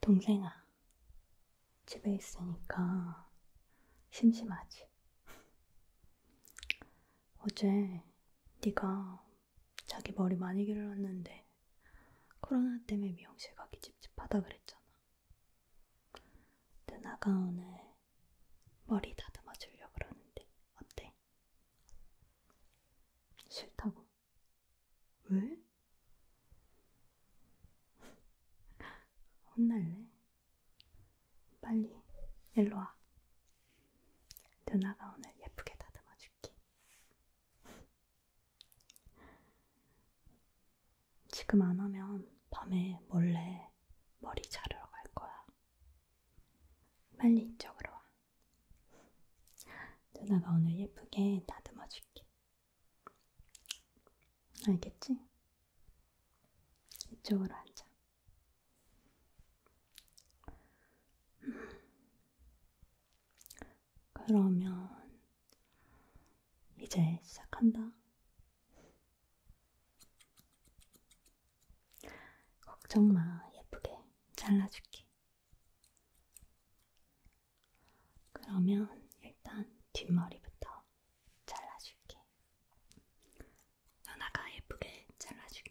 동생아, 집에 있으니까 심심하지? 어제 네가 자기 머리 많이 길렀는데 코로나 때문에 미용실 가기 찝찝하다 그랬잖아. 누나가 오늘 머리 다듬어 주려고 그러는데 어때? 싫다고? 왜? 혼날래? 빨리 일로 와. 누나가 오늘 예쁘게 다듬어 줄게. 지금 안 하면 밤에 몰래 머리 자르러 갈 거야. 빨리 이쪽으로 와. 누나가 오늘 예쁘게 다듬어 줄게. 알겠지? 이쪽으로 앉아. 그러면 이제 시작한다. 걱정 마, 예쁘게 잘라줄게. 그러면 일단 뒷머리부터 잘라줄게. 누나가 예쁘게 잘라줄게.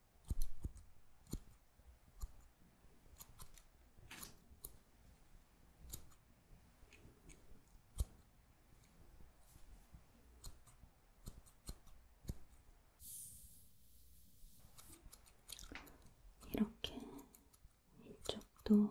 이렇게 이쪽도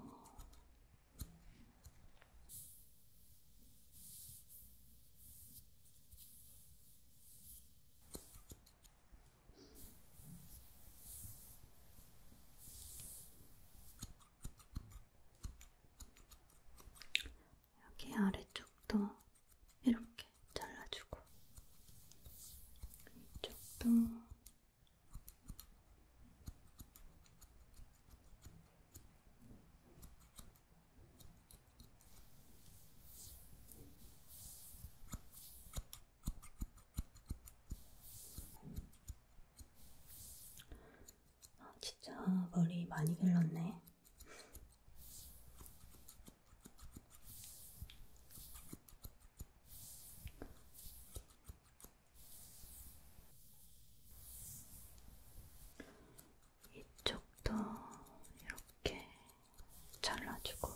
여기 아래쪽도 이렇게 잘라주고, 이쪽도 아, 진짜 머리 많이 길렀네. 이쪽도 이렇게 잘라주고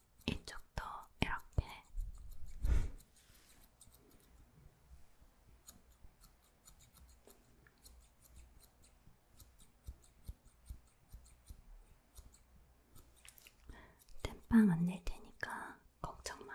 이쪽도 이렇게 땜빵 안낼 테니까 걱정 마.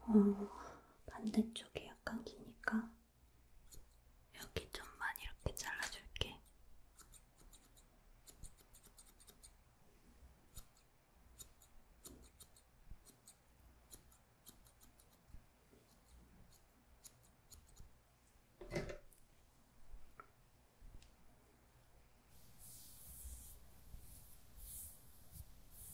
어, 반대쪽이 약간 기니까 여기 좀만 이렇게 잘라줄게.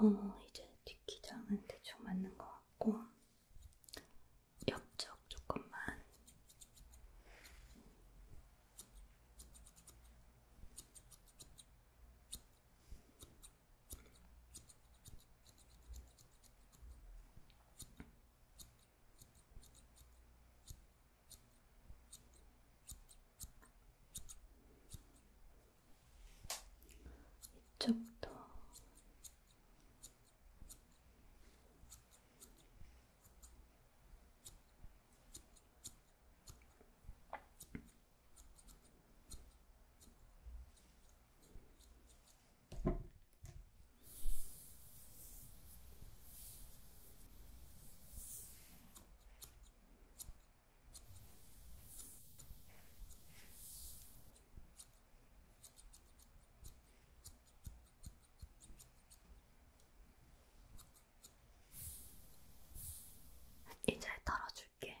어, 이제 뒷기장은 대충 맞는 것 같고, 옆쪽 조금만. 이쪽도 이제 털어줄게.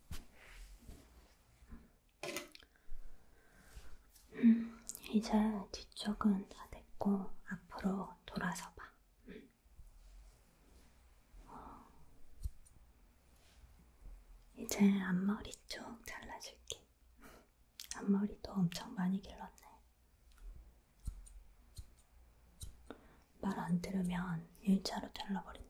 음, 이제 뒤쪽은 다 됐고 앞으로 돌아서 봐. 음. 어. 이제 앞머리 쪽 잘라줄게. 앞머리도 엄청 많이 길렀네. 말안 들으면 일자로 잘라버린다.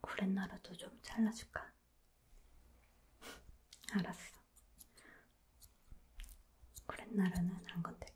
구렛나루도 좀 잘라줄까? 알았어. 구렛나루는 안 건들게.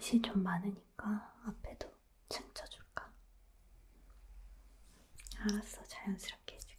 숱이 좀 많으니까 앞에도 춤춰줄까? 알았어, 자연스럽게 해줄게.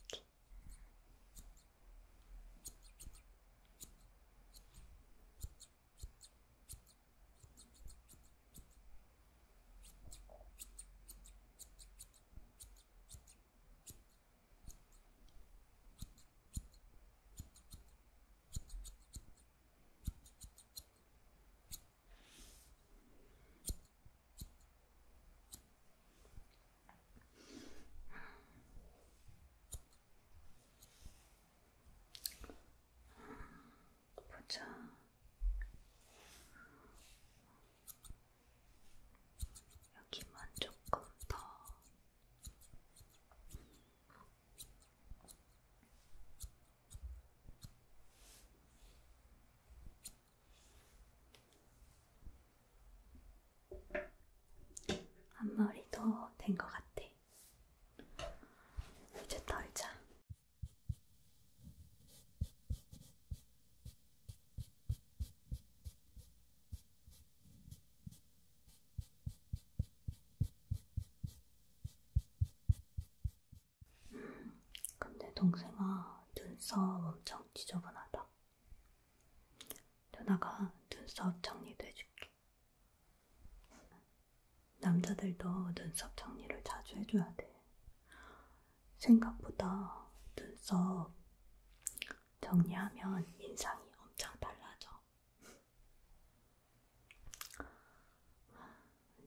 보자. 여기만 조금 더. 앞머리도 된 것 같아. 이제 털자. 근데 동생아 눈썹 엄청 지저분하다. 누나가 눈썹 정리도 해줄게. 남자들도 눈썹 정리를 자주 해줘야 돼. 생각보다 눈썹 정리하면 인상이 엄청 달라져.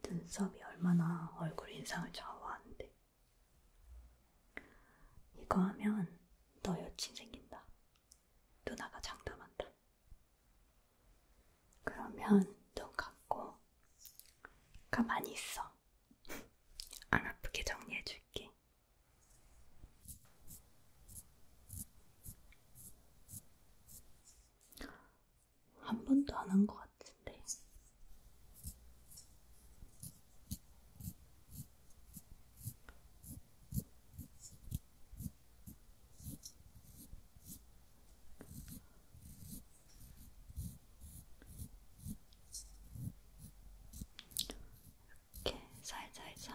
눈썹이 얼마나 얼굴 인상을 좌우하는데. 이거 하면 너 여친 생긴다. 누나가 장담한다. 그러면 눈 감고 가만히 있어. 안 아프게 정리해줄게. 한 번도 안 한 것 같은데. 이렇게 살살살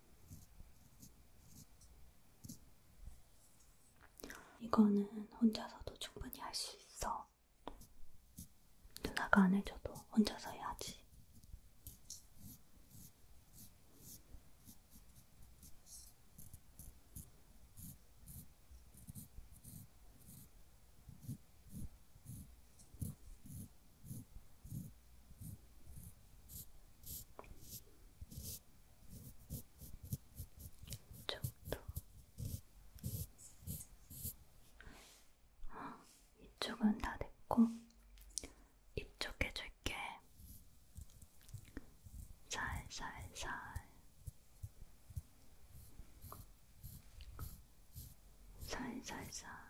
이거는 혼자서도 충분히 할 수 있어. 누나가 안 해줘도 혼자서 해야지. 이쪽도 어, 이쪽은 다 됐고 이쪽 해줄게 살살살 살살살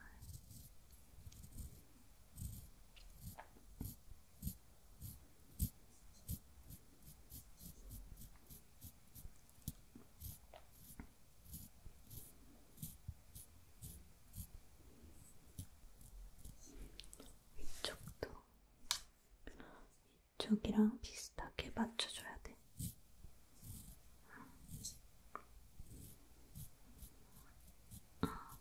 이쪽도 이쪽이랑 비슷하게 맞춰줘야 돼. 아,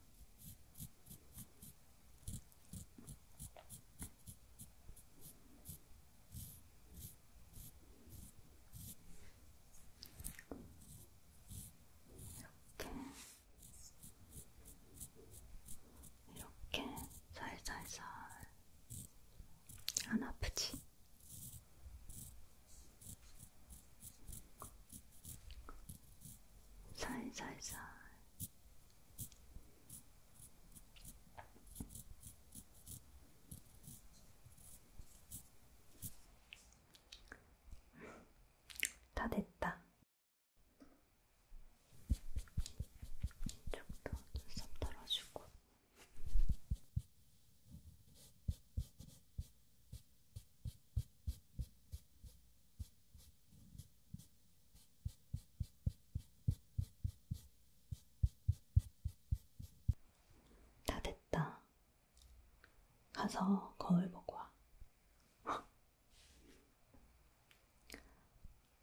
이렇게 이렇게 살살살 안 아프지? 살살살 다 됐다. 이쪽도 눈썹 털어주고. 다 됐다. 가서 거울 보고 와.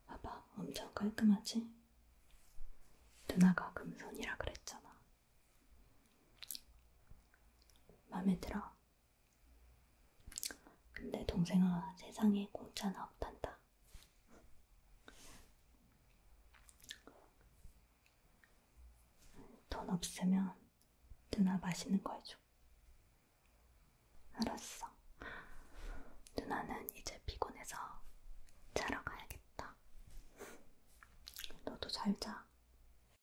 봐봐, 엄청 깔끔하지? 누나가 금손이라 그랬잖아. 마음에 들어. 근데 동생아, 세상에 공짜는 없단다. 돈 없으면 누나 맛있는 거 해줘. 알았어. 누나는 이제 피곤해서 자러 가야겠다. 너도 잘 자.